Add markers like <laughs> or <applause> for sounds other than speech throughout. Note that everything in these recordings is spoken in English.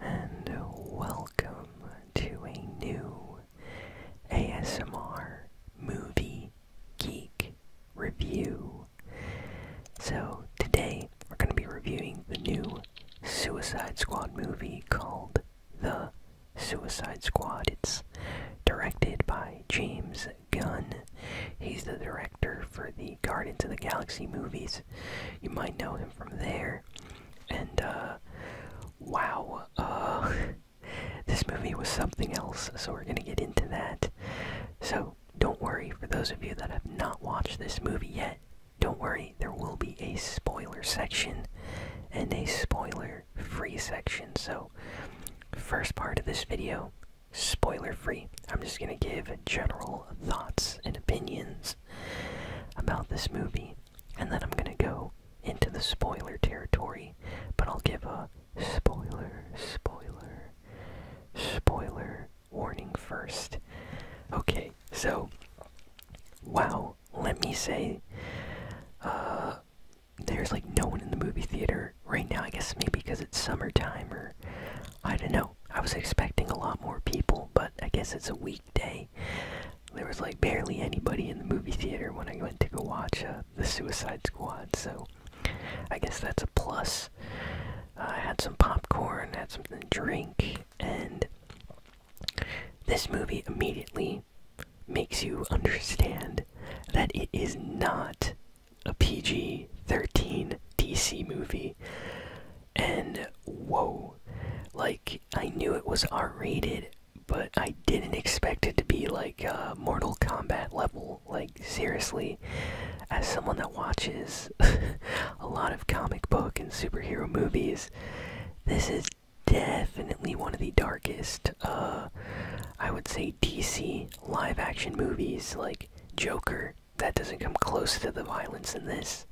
and welcome to a new ASMR Movie Geek review. So, today we're going to be reviewing the new Suicide Squad movie called The Suicide Squad. It's directed by James Gunn. He's the director for the Guardians of the Galaxy movies. You might know him from there and uh, wow, uh, <laughs> this movie was something else. So we're gonna get into that. So don't worry for those of you that have not watched this movie yet. Don't worry, there will be a spoiler section and a spoiler free section. So, first part of this video, spoiler free. I'm just going to give general thoughts and opinions about this movie, and then I'm going to go into the spoiler territory, but I'll give a spoiler, spoiler, spoiler warning first. Okay, so, wow, let me say, uh, there's like no one in the movie theater right now. I guess maybe because it's summertime or I don't know. I was expecting a lot more people, but I guess it's a week weekday. There was like barely anybody in the movie theater when I went to go watch uh, The Suicide Squad, so I guess that's a plus. Uh, I had some popcorn, had something to drink, and this movie immediately makes you understand that it is not a PG 13 DC movie. And whoa, like I knew it was R rated but I didn't expect it to be like uh, Mortal Kombat level. Like, seriously, as someone that watches <laughs> a lot of comic book and superhero movies, this is definitely one of the darkest, uh, I would say, DC live action movies like Joker. That doesn't come close to the violence in this.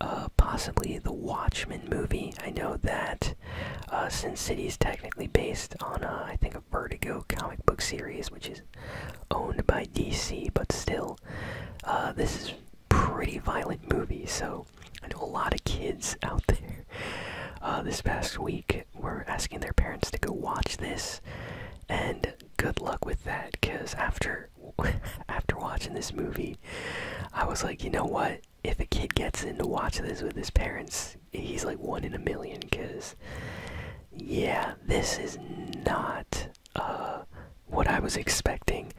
Uh, possibly the Watchmen movie. I know that uh, Sin City is technically based on, uh, I think, a Vertigo comic book series, which is owned by DC, but still, uh, this is pretty violent movie. So I know a lot of kids <laughs> out there uh, this past week were asking their parents to go watch this, and good luck with that, because after <laughs> after watching this movie, I was like, you know what? if a kid gets in to watch this with his parents, he's like one in a million. Cause yeah, this is not uh, what I was expecting,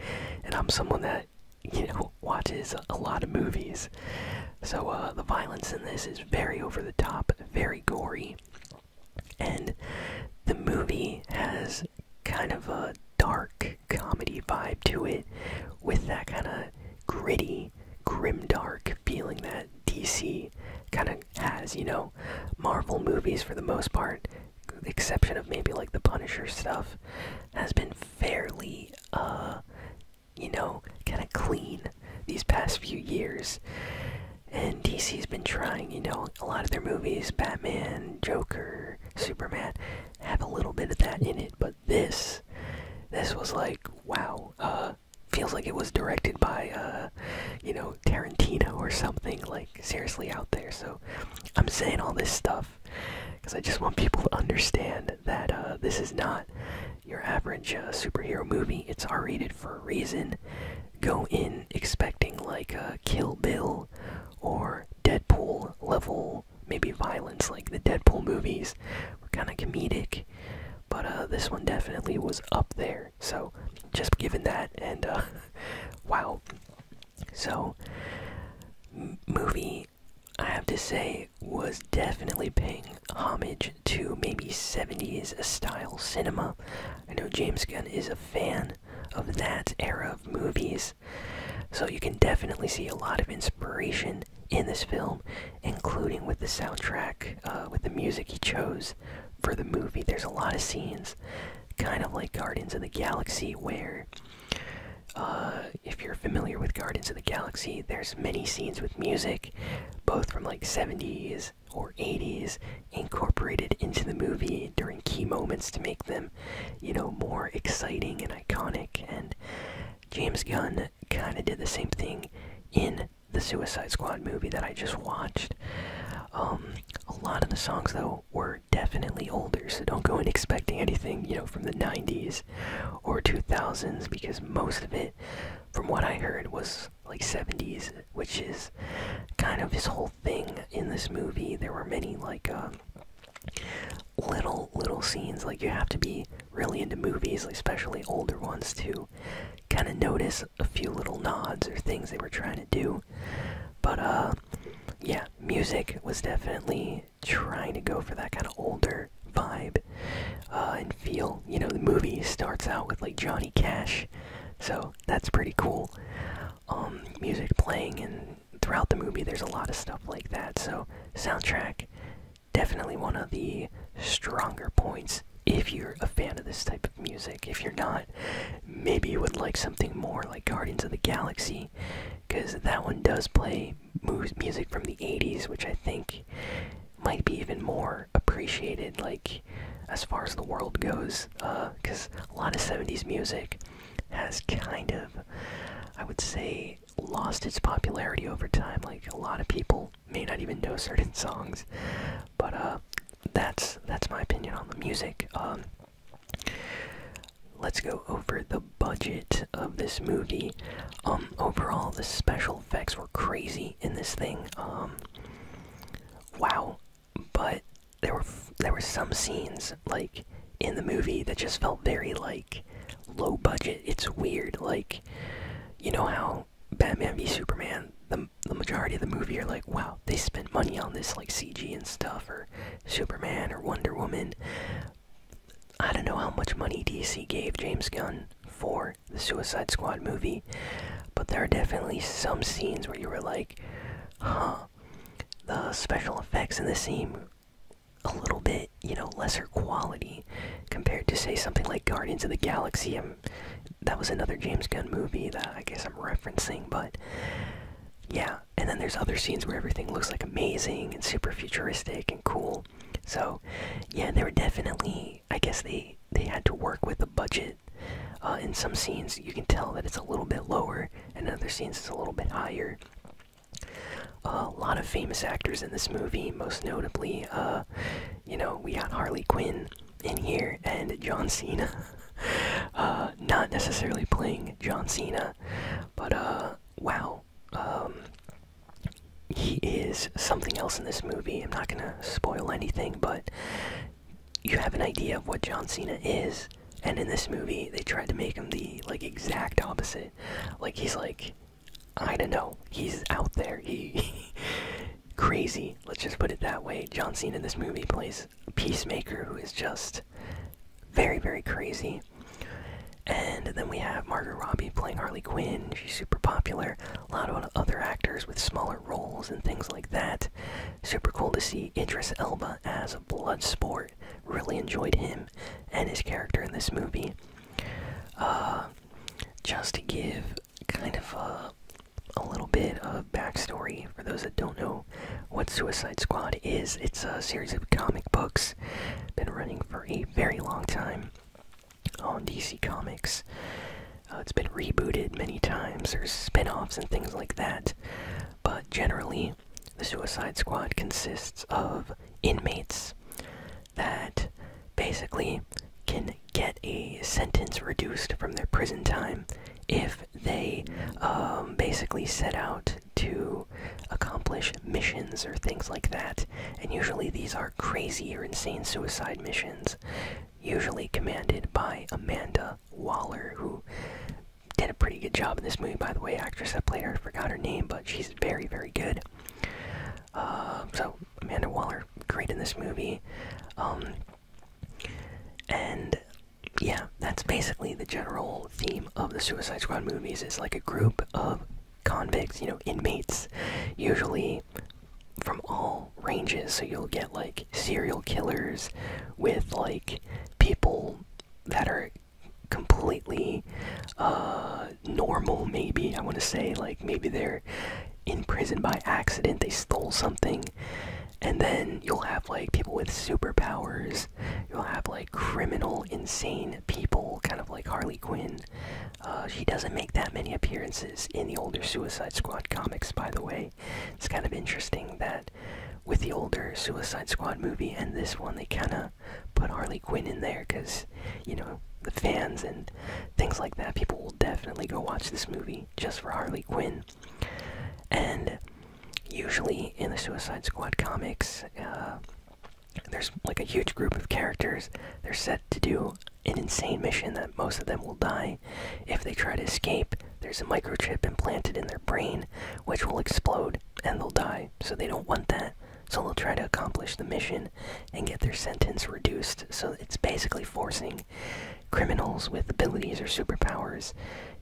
and I'm someone that you know watches a lot of movies. So uh, the violence in this is very over the top, very gory, and the movie has kind of a dark comedy vibe to it with that kind of gritty, grim dark feeling that DC kind of has, you know. Marvel movies, for the most part, the exception of maybe like the Punisher stuff, has been fairly, uh, you know, kind of clean these past few years. And DC's been trying, you know, a lot of their movies Batman, Joker, Superman have a little bit of that in it, but this, this was like, wow, uh, feels like it was directed by, uh, you know, Tarantino or something, like, seriously out there, so I'm saying all this stuff, because I just want people to understand that, uh, this is not your average, uh, superhero movie, it's R-rated for a reason, go in expecting, like, uh, Kill Bill, or Deadpool level maybe violence like the Deadpool movies were kind of comedic, but uh, this one definitely was up there. So just given that, and uh, <laughs> wow. So, movie, I have to say, was definitely paying homage to maybe 70s style cinema. I know James Gunn is a fan of that era of movies, so you can definitely see a lot of inspiration in this film, including with the soundtrack, uh, with the music he chose for the movie. There's a lot of scenes, kind of like Guardians of the Galaxy, where uh, if you're familiar with Guardians of the Galaxy, there's many scenes with music, both from like 70s or 80s, incorporated into the movie during key moments to make them you know, more exciting and iconic. And James Gunn kind of did the same thing in the Suicide Squad movie that I just watched. Um, a lot of the songs, though, were definitely older, so don't go in expecting anything, you know, from the 90s or 2000s, because most of it, from what I heard, was like 70s, which is kind of his whole thing in this movie. There were many, like, um, little little scenes like you have to be really into movies especially older ones to kind of notice a few little nods or things they were trying to do but uh yeah music was definitely trying to go for that kind of older vibe uh, and feel you know the movie starts out with like johnny cash so that's pretty cool um, music playing, and throughout the movie, there's a lot of stuff like that. So, soundtrack definitely one of the stronger points if you're a fan of this type of music. If you're not, maybe you would like something more like Guardians of the Galaxy, because that one does play music from the 80s, which I think might be even more appreciated, like as far as the world goes, because uh, a lot of 70s music has kind of, I would say, lost its popularity over time. Like a lot of people may not even know <laughs> certain songs, but uh, that's that's my opinion on the music. Um, let's go over the budget of this movie. Um, overall, the special effects were crazy in this thing. Um, wow, but there were there were some scenes like in the movie that just felt very like low budget. It's weird, like you know how Batman v Superman, the the majority of the movie are like, wow, they spent money on this like CG and stuff, or Superman or Wonder Woman. I don't know how much money DC gave James Gunn for the Suicide Squad movie, but there are definitely some scenes where you were like, huh, the special effects in this scene a little bit, you know, lesser quality compared to say something like Guardians of the Galaxy. I'm, um, that was another James Gunn movie that I guess I'm referencing, but yeah. And then there's other scenes where everything looks like amazing and super futuristic and cool. So yeah, there were definitely. I guess they they had to work with the budget. Uh, in some scenes, you can tell that it's a little bit lower, and other scenes it's a little bit higher. A lot of famous actors in this movie, most notably, uh, you know, we got Harley Quinn in here and John Cena. <laughs> Uh, not necessarily playing John Cena, but uh, wow, um, he is something else in this movie. I'm not gonna spoil anything, but you have an idea of what John Cena is and in this movie, they tried to make him the like exact opposite. Like he's like, I don't know, he's out there. He <laughs> crazy. Let's just put it that way. John Cena in this movie plays a peacemaker who is just very very crazy. And then we have Margot Robbie playing Harley Quinn. She's super popular. A lot of other actors with smaller roles and things like that. Super cool to see Idris Elba as a Bloodsport. Really enjoyed him and his character in this movie. Uh, just to give kind of a, little bit of backstory for those that don't know what Suicide Squad is, it's a series of comic books been running for a very long time on DC Comics. Uh, it's been rebooted many times. There's spin offs and things like that. But generally, the Suicide Squad consists of inmates that basically can get a sentence reduced from their prison time if they um, basically set out to accomplish missions or things like that. And usually these are crazy or insane suicide missions, usually commanded by Amanda Waller, who did a pretty good job in this movie, by the way. Actress that played her, I forgot her name, but she's very, very good. Um, so Amanda Waller, great in this movie. Um, and yeah, that's basically the general theme of the Suicide Squad movies. Is like a group of convicts, you know, inmates, usually from all ranges. So you'll get like serial killers with like people that are completely uh, normal, maybe. I want to say, like, maybe they're in prison by accident, they stole something. And then you'll have, like, people with superpowers. You'll have, like, criminal, insane people, kind of like Harley Quinn. Uh, she doesn't make that many appearances in the older Suicide Squad comics, by the way. It's kind of interesting that with the older Suicide Squad movie and this one, they kind of put Harley Quinn in there because, you know, the fans and things like that, people will definitely go watch this movie just for Harley Quinn. And usually in the Suicide Squad comics, uh, there's like a huge group of characters. They're set to do an insane mission that most of them will die if they try to escape. There's a microchip implanted in their brain, which will explode and they'll die. So they don't want that. So they'll try to accomplish the mission and get their sentence reduced. So it's basically forcing criminals with abilities or superpowers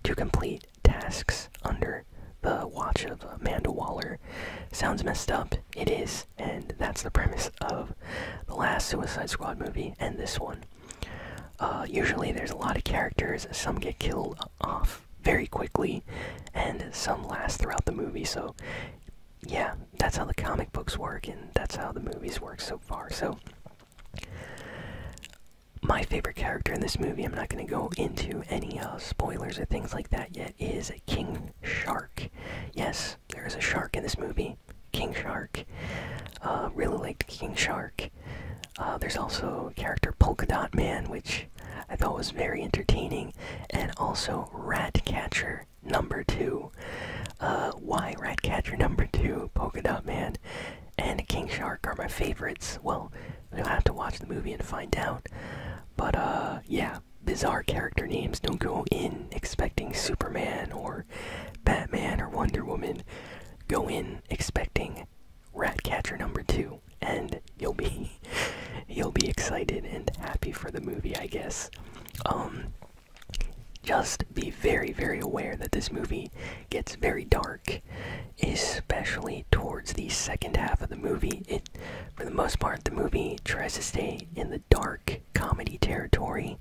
to complete tasks under the watch of Amanda Waller. Sounds messed up. It is. And that's the premise of the last Suicide Squad movie and this one. Uh, usually there's a lot of characters. Some get killed off very quickly, and some last throughout the movie. So, yeah, that's how the comic books work, and that's how the movies work so far. So, my favorite character in this movie, I'm not going to go into any uh, spoilers or things like that yet, is King Shark. Yes, there is a shark in this movie. King Shark. Uh, really like King Shark. Uh, there's also character Polkadot Man, which I thought was very entertaining, and also Ratcatcher number two. Uh, why Ratcatcher number two, Polkadot Man, and King Shark are my favorites. Well, you'll have to watch the movie and find out. But uh, yeah, bizarre character names. Don't go in expecting Superman or Batman or Wonder Woman. Go in expecting Ratcatcher number two and you'll be you'll be excited and happy for the movie i guess um just be very very aware that this movie gets very dark especially towards the second half of the movie it for the most part the movie tries to stay in the dark comedy territory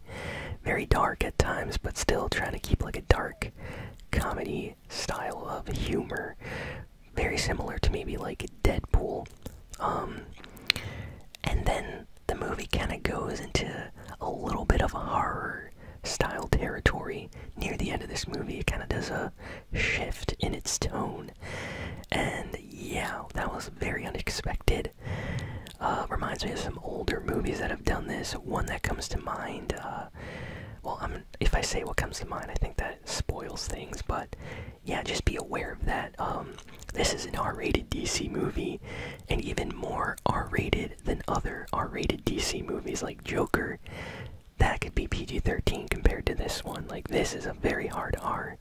very dark at times but still trying to keep like a dark comedy style of humor very similar to maybe like Deadpool. Um, and then the movie kind of goes into a little bit of a horror style territory near the end of this movie. It kind of does a shift in its tone. And yeah, that was very unexpected. Uh, reminds me of some older movies that have done this. One that comes to mind. Uh, uh, well, if I say what comes to mind, I think that spoils things, but yeah, just be aware of that. Um, this is an R rated DC movie, and even more R rated than other R rated DC movies like Joker. That could be PG 13 compared to this one. Like, this is a very hard R.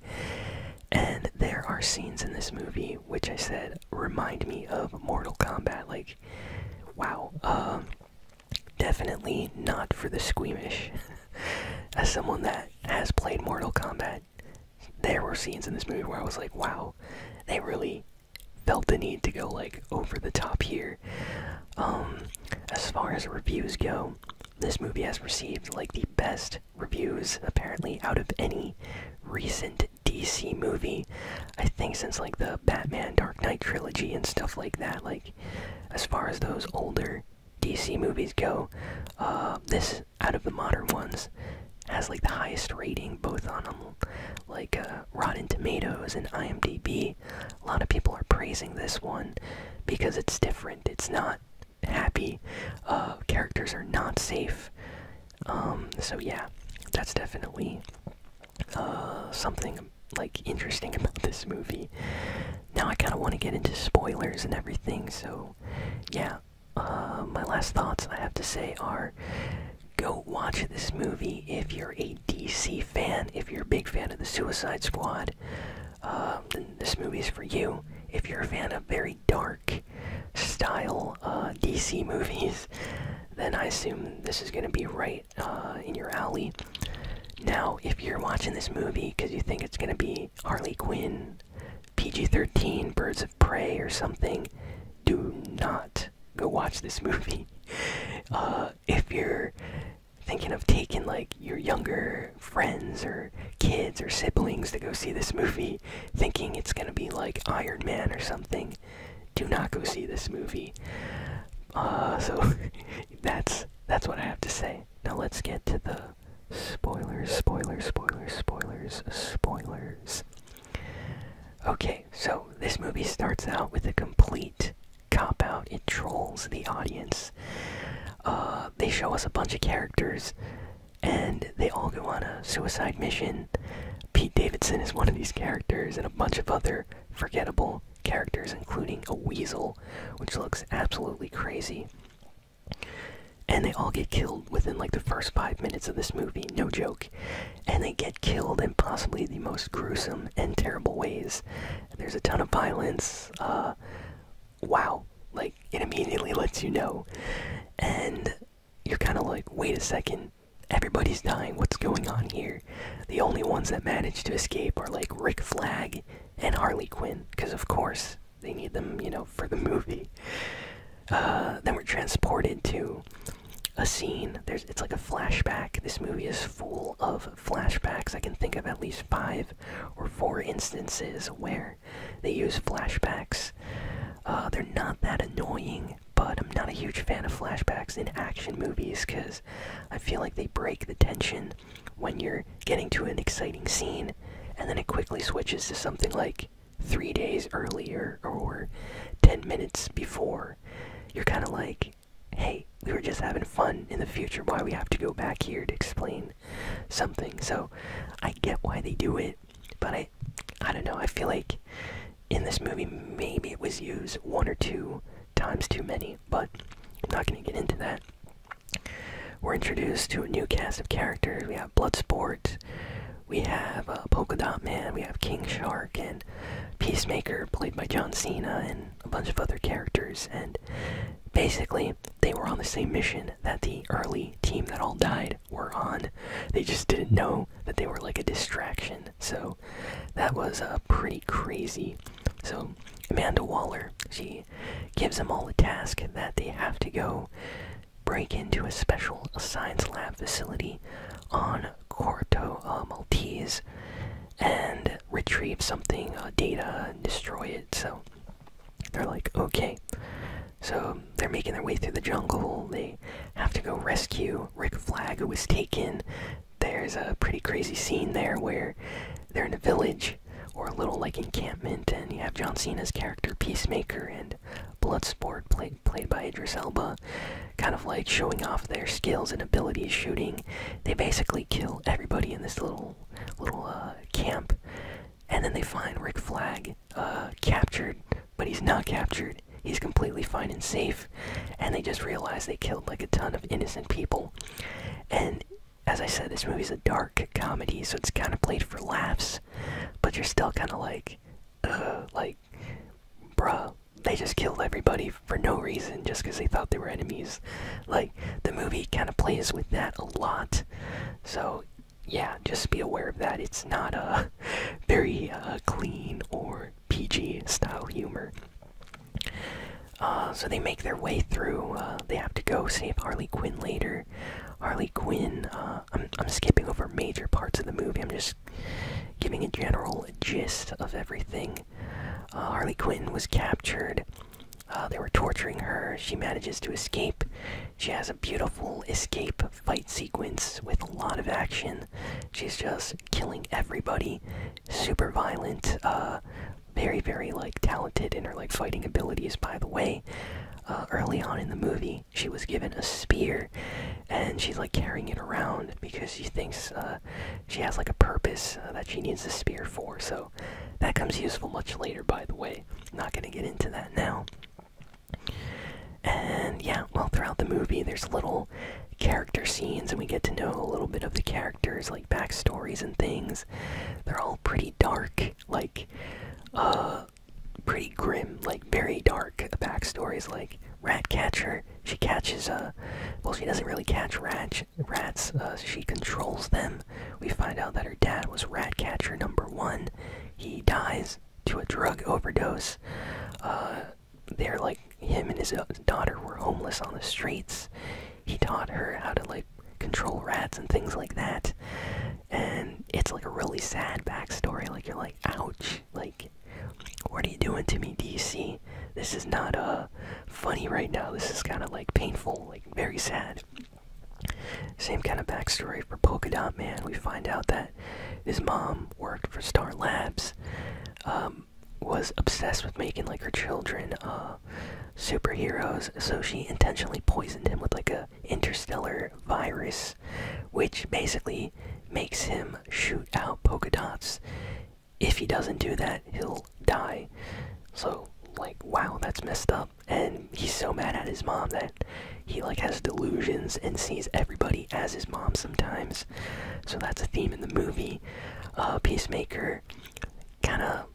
And there are scenes in this movie which I said remind me of Mortal Kombat. Like, wow. Um, Definitely not for the squeamish. <laughs> As someone that has played Mortal Kombat, there were scenes in this movie where I was like, wow, they really felt the need to go like over the top here. Um, as far as reviews go, this movie has received like the best reviews apparently out of any recent DC movie. I think since like the Batman Dark Knight trilogy and stuff like that. Like, as far as those older DC movies go, uh, this out of the modern ones has like the highest rating both on them, like uh, Rotten Tomatoes and IMDb. A lot of people are praising this one because it's different. It's not happy. Uh, characters are not safe. Um, so yeah, that's definitely uh, something like interesting <laughs> about this movie. Now I kind of want to get into spoilers and everything, so yeah. Uh, my last thoughts I have to say are go watch this movie if you're a DC fan, if you're a big fan of the Suicide Squad. Uh, this movie is for you. If you're a fan of very dark style DC <laughs> movies, then I assume this is going to be right uh, in your alley. Now, if you're watching this movie because you think it's gonna be Harley Quinn, PG-13, Birds of Prey, or something, do not go watch this <laughs> movie. Uh, if you're thinking of taking like your younger friends or kids or siblings to go see this movie, thinking it's gonna be like Iron Man or something, do not go see this movie. Uh, so <laughs> that's that's what I have to say. Now let's get to the spoilers, spoilers, spoilers, spoilers, spoilers. Okay, so this movie starts out with a complete cop out. It trolls the audience. Uh, they show us a bunch of characters, and they all go on a suicide mission. Pete Davidson is one of these characters, and a bunch of other forgettable characters, including a weasel, which looks absolutely crazy. And they all get killed within like the first five minutes of this movie, no joke. And they get killed in possibly the most gruesome and terrible ways. There's a ton of violence. Uh, wow. Like, it immediately lets you know. And you're kind of like, wait a second, Everybody's dying. What's going on here? The only ones that manage to escape are like Rick Flag and Harley Quinn, because of course they need them, you know, for the movie. Uh, then we're transported to a scene. it's like a flashback. This movie is full of flashbacks. I can think of at least five or four instances where they use flashbacks. Uh, they're not that annoying, but I'm not a huge fan of flashbacks in action movies because I feel like they break the tension when you're getting to an exciting scene and then it quickly switches to something like three days earlier or 10 minutes before. You're kind of like, hey, we were just having fun in the future. Why we have to go back here to explain something? So I get why they do it, but I, I don't know. I feel like in this movie. Maybe it was used one or two times too many, but I'm not going to get into that. We're introduced to a new cast of characters. We have Bloodsport, we have uh, Polka Dot Man, we have King Shark, and Peacemaker, played by John Cena, and a bunch of other characters. And basically, they were on the same mission that the early team that all died were on. They just didn't know that they were like a distraction. So that was uh, pretty crazy. So Amanda Waller, she gives them all a task that they have to go break into a special science lab facility on Corto uh, Maltese and retrieve something, uh, data, and destroy it. So they're like, okay. So they're making their way through the jungle. They have to go rescue Rick Flag, who was taken there's a pretty crazy scene there where they're in a village or a little like encampment, and you have John Cena's character Peacemaker and Bloodsport, played played by Idris Elba, kind of like showing off their skills and abilities shooting. They basically kill everybody in this little little uh, camp, and then they find Rick Flag uh, captured, but he's not captured he's completely fine and safe, and they just realize they killed like a ton of innocent people. And as I said, this movie's a dark comedy, so it's kind of played for laughs, but you're still kind of like, like, bruh, they just killed everybody for no reason just because they thought they were enemies. Like, the movie kind of plays with that a lot, so yeah, just be aware of that. It's not a <laughs> very uh, clean or PG style humor. Uh, so they make their way through. Uh, they have to go save Harley Quinn later. Harley Quinn. Uh, I'm I'm skipping over major parts of the movie. I'm just giving a general gist of everything. Harley Quinn was captured. they were torturing her. She manages to escape. She has a beautiful escape fight sequence with a lot of action. She's just killing everybody super violent, uh, very, very like talented in her like fighting abilities. By the way, uh, early on in the movie, she was given a spear, and she's like carrying it around because she thinks uh, she has like a purpose that she needs the spear for. So that comes useful much later. By the way, not gonna get into that now. And yeah, well, throughout the movie, there's little character scenes and we get to know a little bit of the characters like backstories and things they're all pretty dark like uh, pretty grim like very dark backstories like rat catcher, she catches a, uh, well she doesn't really catch rat rats uh, she controls them we find out that her dad was rat catcher number one he dies to a drug overdose they're like him and his uh, daughter were homeless on the streets. He taught her how to like control rats and things like that. And it's like a really sad backstory. Like you're like, ouch! Like, what are you doing to me, DC? This is not a uh, funny right now. This is kind of like painful, like very sad. Same kind of backstory for Polka Dot Man. We find out that his mom worked for Star Labs. Um, was obsessed with making like her children uh, superheroes, so she intentionally poisoned him with like a interstellar virus, which basically makes him shoot out polka dots. If he doesn't do that, he'll die. So like, wow, that's messed up. And he's so mad at his mom that he like has delusions and sees everybody as his mom sometimes. So that's a theme in the movie. Uh, Peacemaker, kind of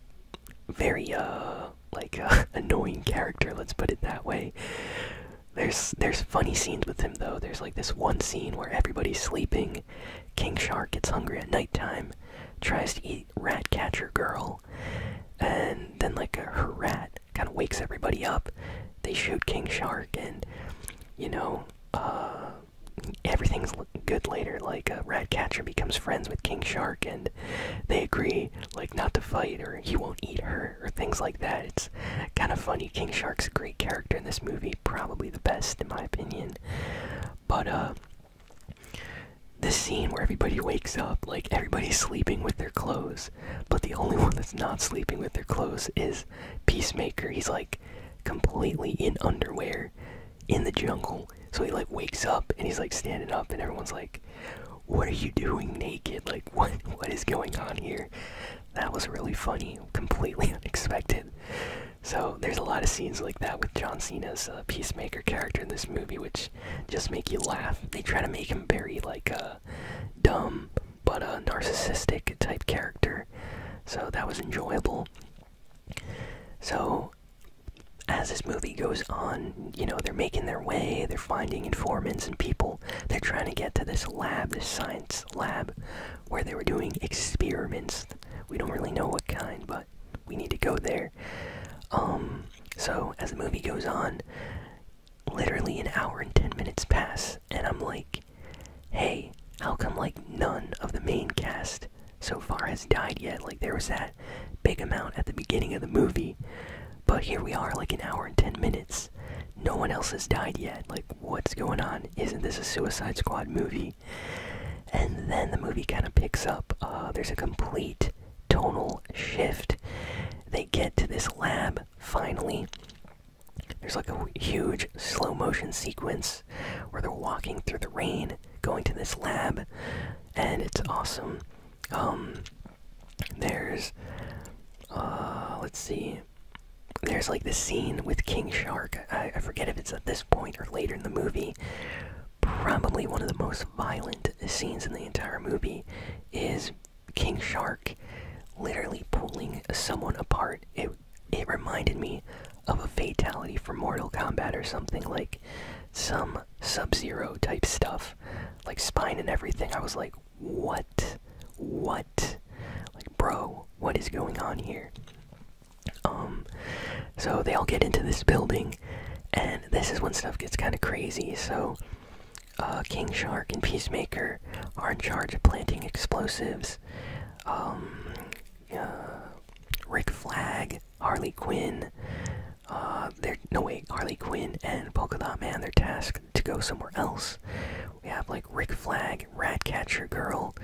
very uh like <laughs> uh, annoying character. Let's put it that way. There's there's funny scenes with him though. There's like this one scene where everybody's sleeping. King Shark gets hungry at nighttime, tries to eat Ratcatcher Girl, and then like a, her rat kind of wakes everybody up. They shoot King Shark, and you know, uh, everything's good later. Like a uh, rat catcher becomes friends with King Shark, and they agree like not to fight, or he won't eat her, or things like that. It's kind of funny. King Shark's a great character in this movie, probably the best in my opinion. But uh, this scene where everybody wakes up, like everybody's sleeping with their clothes, but the only <laughs> one that's not sleeping with their clothes is Peacemaker. He's like completely in underwear in the jungle. So he like wakes up and he's like standing up and everyone's like, "What are you doing naked? Like <laughs> what what is going on here?" That was really funny, completely <laughs> unexpected. So there's a lot of scenes like that with John Cena's uh, peacemaker character in this movie, which just make you laugh. They try to make him very like uh, dumb but a narcissistic type character. So that was enjoyable. So as this movie goes on, you know, they're making their way, they're finding informants and people. They're trying to get to this lab, this science lab, where they were doing experiments. We don't really know what kind, but we need to go there. Um, so as the movie goes on, literally an hour and 10 minutes pass and I'm like, hey, how come like none of the main cast so far has died yet? Like there was that big amount at the beginning of the movie, but here we are, like an hour and ten minutes. No one else has died yet. Like what's going on? Isn't this a Suicide Squad movie? And then the movie kind of picks up. Uh, there's a complete tonal shift. They get to this lab finally, there's like a huge slow motion sequence where they're walking through the rain, going to this lab, and it's awesome. Um, there's, uh, let's see, there's like the scene with King Shark. I, forget if it's at this point or later in the movie. Probably one of the most violent scenes in the entire movie is King Shark literally pulling someone apart it reminded me of a fatality for Mortal Kombat or something like some Sub Zero type stuff, like spine and everything. I was like, what? What? Like, bro, what is going on here? Um, so they all get into this building, and this is when stuff gets kind of crazy. So, uh, King Shark and Peacemaker are in charge of planting explosives um, Rick Flag, Harley Quinn. Uh, they no wait, Harley Quinn and Polka Dot Man. They're tasked to go somewhere else. We have like Rick Flag, Ratcatcher Girl,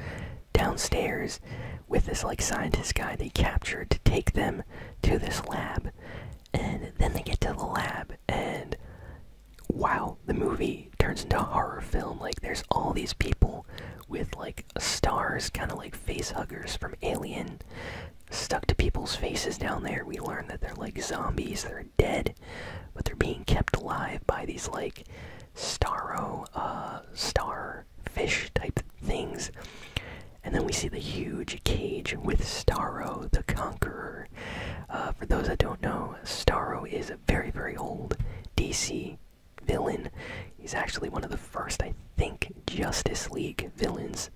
downstairs with this like scientist guy they captured to take them to this lab, and then they get to the lab and wow, the movie turns into a horror film. Like, there's all these people with, like, stars, kind of like face huggers from Alien, stuck to people's faces down there. We learn that they're, like, zombies, they're dead, but they're being kept alive by these, like, starro, uh, starfish type things. And then we see the huge cage with Starro the Conqueror. Uh, for those that don't know, Starro is very, very old. DC villain. He's actually one of the first, I think, Justice League villains,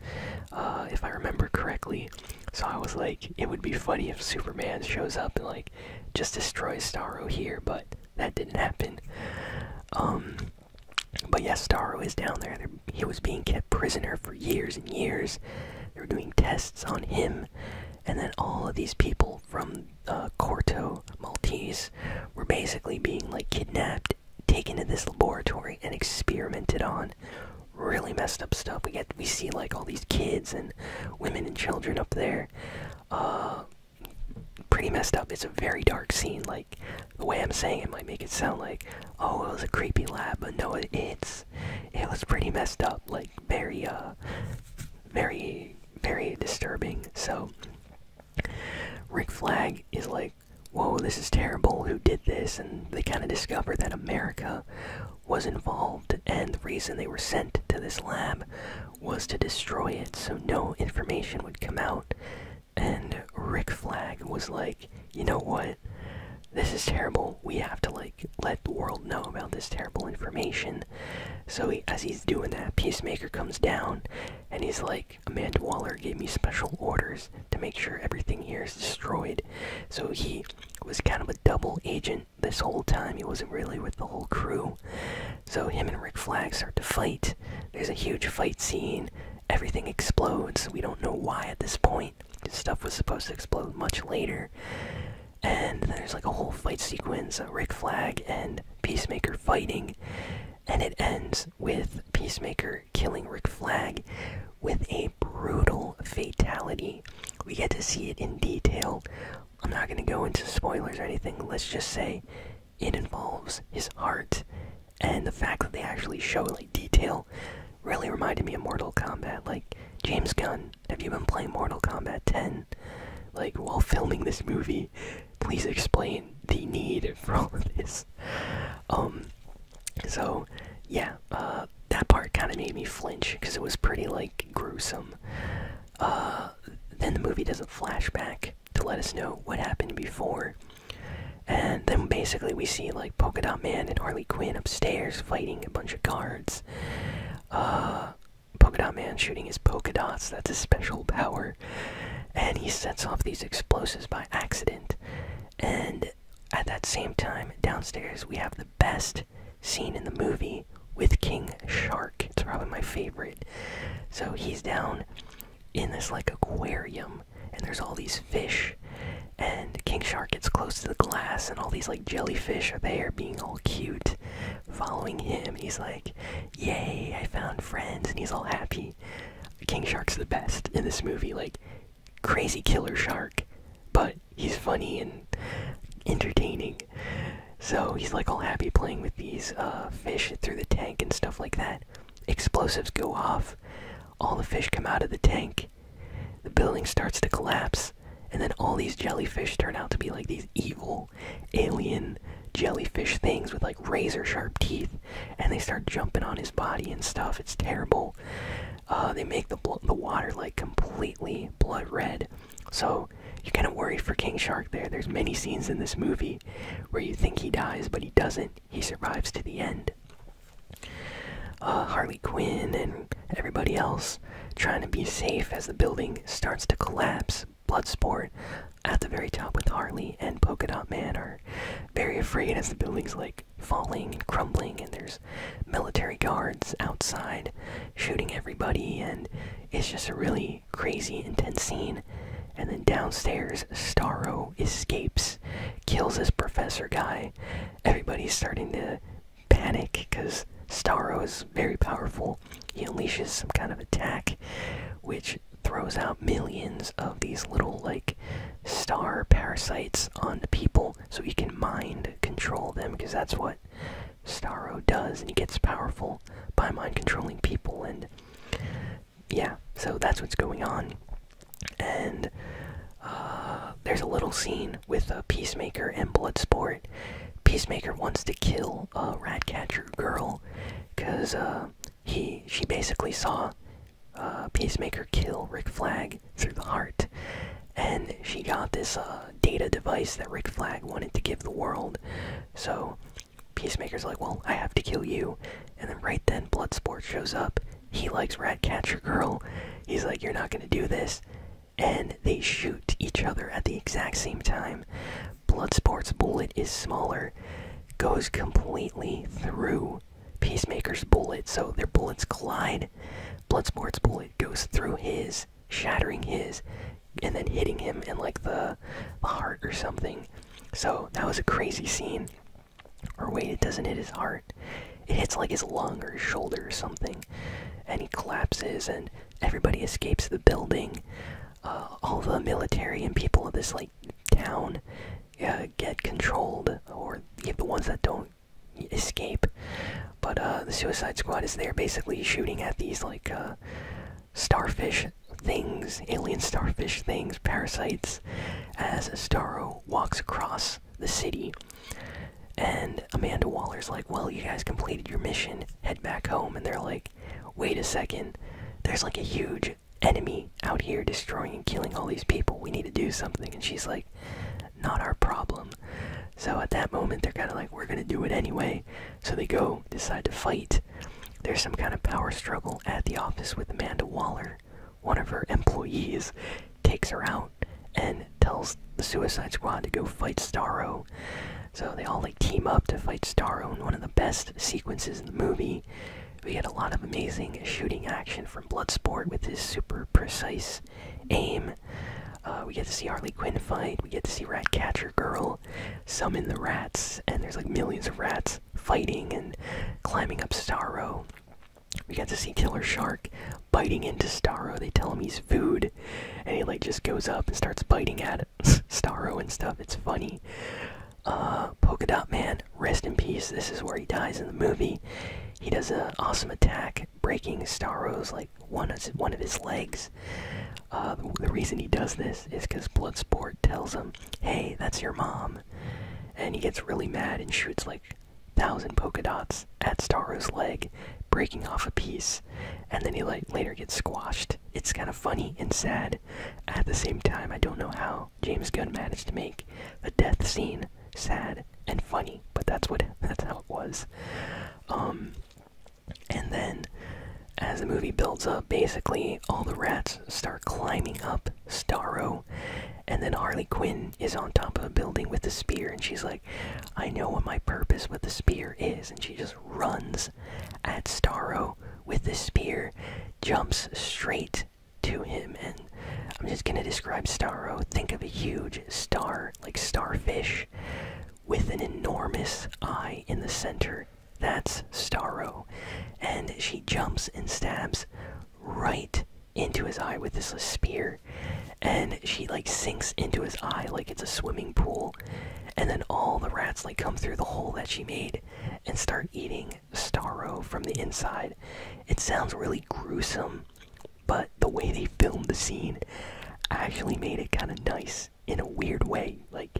uh, if I remember correctly. So I was like, it would be funny if Superman shows up and like just destroys Starro here, but that didn't happen. Um, but yes, yeah, Starro is down there. He was being kept prisoner for years and years. They were doing tests on him and then all of these people from uh, Corto Maltese were basically being like kidnapped, taken to this laboratory, and experimented on. Really messed up stuff. We get we see like all these kids and women and children up there. Uh, pretty messed up. It's a very dark scene. Like the way I'm saying it might make it sound like, oh, it was a creepy lab, but no, it's it was pretty messed up. Like very uh, very, very disturbing. So, Rick Flag is like, whoa, this is terrible, who did this? And they kind of discover that America was involved, and the reason they were sent to this lab was to destroy it so no information would come out. And Rick Flag was like, you know what? This is terrible. We have to, like, let the world know about this terrible information. So as he's doing that, Peacemaker comes down, and he's like, Amanda Waller gave me special orders to make sure everything here is destroyed. So he was kind of a double agent this whole time. He wasn't really with the whole crew. So him and Rick Flag start to fight. There's a huge fight scene. Everything explodes. We don't know why at this point. This stuff was supposed to explode much later and there's like a whole fight sequence of Rick Flag and Peacemaker fighting, and it ends with Peacemaker killing Rick Flag with a brutal fatality. We get to see it in detail. I'm not going to go into spoilers or anything, let's just say it involves his heart, and the fact that they actually show like detail really reminded me of Mortal Kombat. Like, James Gunn 10? Have you been playing Mortal Kombat 10? Like, while filming this movie, please explain the need <laughs> for all of this. Um, so, yeah, uh, that part kind of made me flinch because it was pretty, like, gruesome. Uh, then the movie does a flashback to let us know what happened before. And then basically we see like Polkadot Man and Harley Quinn upstairs fighting a bunch of guards. Uh, Polka Dot Man shooting his polka dots. That's his special power. And he sets off these explosives by accident. And at that same time, downstairs, we have the best scene in the movie with King Shark. It's probably my favorite. So he's down in this like aquarium, and there's all these fish. And King Shark gets close to the glass, and all these like jellyfish are there being all cute following him. He's like, "Yay, I found friends," and he's all happy. King Shark's the best in this movie, like crazy killer shark, but he's funny and entertaining. So he's like all happy playing with these uh, fish through the tank and stuff like that. Explosives go off. All the fish come out of the tank. The building starts to collapse and then all these jellyfish turn out to be like these evil alien jellyfish things with like razor sharp teeth and they start jumping on his body and stuff it's terrible uh, they make the, the water like completely blood red so you're kind of worried for king shark there there's many scenes in this movie where you think he dies but he doesn't he survives to the end uh, harley quinn and everybody else trying to be safe as the building starts to collapse. Bloodsport at the very top with Harley and Polka Dot Man are very afraid as the building's like falling and crumbling, and there's military guards outside shooting everybody, and it's just a really crazy, intense scene. And then downstairs, Starro escapes, kills this professor guy. Everybody's starting to panic because Starro is very powerful. He unleashes some kind of attack which throws out millions of these little like star parasites on the people so he can mind control them because that's what Starro does and he gets powerful by mind controlling people and yeah, so that's what's going on. And uh, there's a little scene with a Peacemaker and Bloodsport Peacemaker wants to kill Ratcatcher girl because uh, he she basically saw uh, Peacemaker kill Rick Flag through the heart, and she got this uh, data device that Rick Flag wanted to give the world. So Peacemaker's like, well, I have to kill you, and then right then Bloodsport shows up. He likes Ratcatcher girl. He's like, you're not gonna do this and they shoot each other at the exact same time. Bloodsport's bullet is smaller, goes completely through Peacemaker's bullet, so their bullets collide. Bloodsport's bullet goes through his, shattering his, and then hitting him in like the, heart or something. So that was a crazy scene. Or wait, it doesn't hit his heart. It hits like his lung or his shoulder or something. And he collapses and Everybody escapes the building. Uh, all the military and people of this like town uh, get controlled, or the ones that don't escape. But uh, the Suicide Squad is there, basically shooting at these like starfish things, alien starfish things, parasites, as Starro walks across the city. And Amanda Waller's like, Well, you guys completed your mission, head back home. And they're like, Wait a second, there's like a huge enemy out here destroying and killing all these people. We need to do something. And she's like, Not our problem. So at that moment, they're kind of like, We're going to do it anyway. So they go, decide to fight. There's some kind of power struggle at the office with Amanda Waller. One of her employees takes her out, and tells the Suicide Squad to go fight Starro. So they all like team up to fight Starro in one of the best sequences in the movie. We get a lot of amazing shooting action from Bloodsport with his super precise aim. Uh, we get to see Harley Quinn fight. We get to see Ratcatcher Girl summon the rats, and there's like millions of rats fighting and climbing up Starro. We get to see Killer Shark biting into Starro. They tell him he's food, and he like just goes up and starts biting at it. <laughs> Starro and stuff. It's funny. Uh, Polka Dot Man, rest in peace. This is where he dies in the movie. He does an awesome attack, breaking Starro's like one of one of his legs. Uh, the, the reason he does this is because Bloodsport tells him, "Hey, that's your mom," and he gets really mad and shoots like thousand polka dots shots at Staro's leg, breaking off a piece, and then he later gets squashed. It's kind of funny and sad. At the same time, I don't know how James Gunn managed to make the death scene sad and funny, but that's what <laughs> that's how it was. Um, and then as the movie builds up, basically all the rats start climbing up Starro, and then Harley Quinn is on top of a building with a spear, and she's like. I know what my purpose with the spear is. And she just runs at Staro with the spear, jumps straight to him. And I'm just going to describe Staro. Think of a huge star, like starfish, with an enormous eye in the center. That's Staro, And she jumps and stabs right into his eye with this spear and she like sinks into his eye like it's a swimming pool and then all the rats like come through the hole that she made and start eating starro from the inside it sounds really gruesome but the way they filmed the scene actually made it kind of nice in a weird way like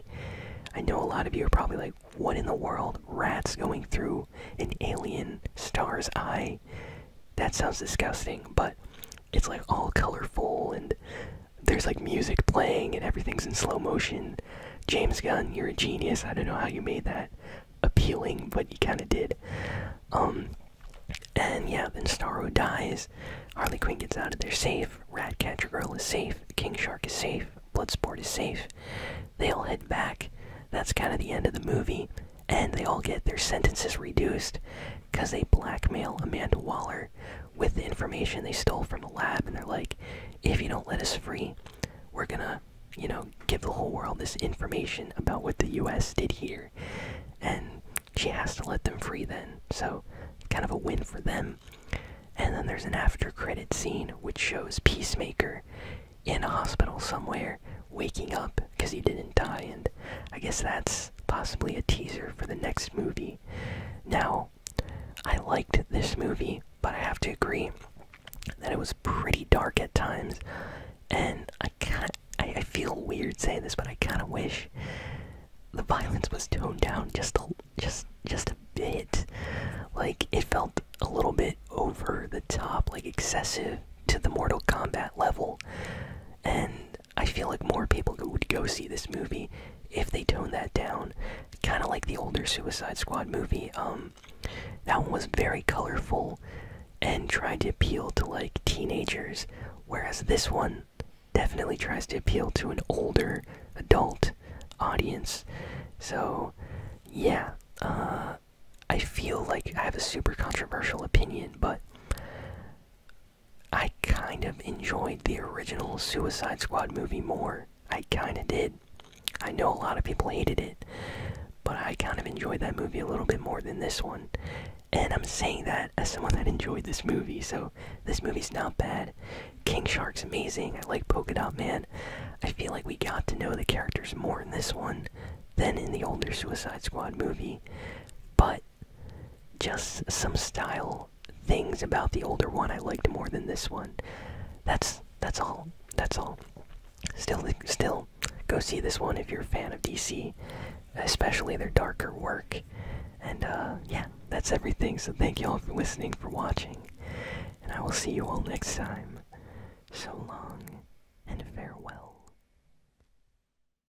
i know a lot of you are probably like what in the world rats going through an alien star's eye that sounds disgusting, but it's like all colorful and there's like music playing and everything's in slow motion. James Gunn, you're a genius. I don't know how you made that appealing, but you kind of did. Um, and yeah, then Starro dies. Harley Quinn gets out of there safe. Ratcatcher Girl is safe. King Shark is safe. Bloodsport is safe. They all head back. That's kind of the end of the movie, and they all get their sentences reduced because they blackmail Amanda Waller with the information they stole from the lab, and they're like, if you don't let us free, we're gonna, you know, give the whole world this information about what the US did here. And she has to let them free then, so kind of a win for them. And then there's an after credit scene which shows Peacemaker in a hospital somewhere waking up because he didn't die, and I guess that's possibly a teaser for the next movie. Now, I liked this movie, but I have to agree that it was pretty dark at times, and I kind I, I feel weird saying this, but I kind of wish the violence was toned down just a just just a bit. Like it felt a little bit over the top, like excessive to the Mortal Kombat level, and I feel like more people would go see this movie if they toned that down. Kind of like the older Suicide Squad movie. Um, that one was very colorful and tried to appeal to like teenagers, whereas this one definitely tries to appeal to an older adult audience. So, yeah, uh, I feel like I have a super controversial opinion, but I kind of enjoyed the original Suicide Squad movie more. I kind of did. I know a lot of people hated it, but I kind of enjoyed that movie a little bit more than this one. And I'm saying that as someone that enjoyed this movie, so this movie's not bad. King Shark's amazing. I like Polka Dot Man. I feel like we got to know the characters more in this one than in the older Suicide Squad movie. But just some style things about the older one I liked more than this one. That's that's all. That's all. Still, still, go see this one if you're a fan of DC, especially their darker work. And uh, yeah, that's everything. So thank you all for listening, for watching, and I will see you all next time. So long and farewell.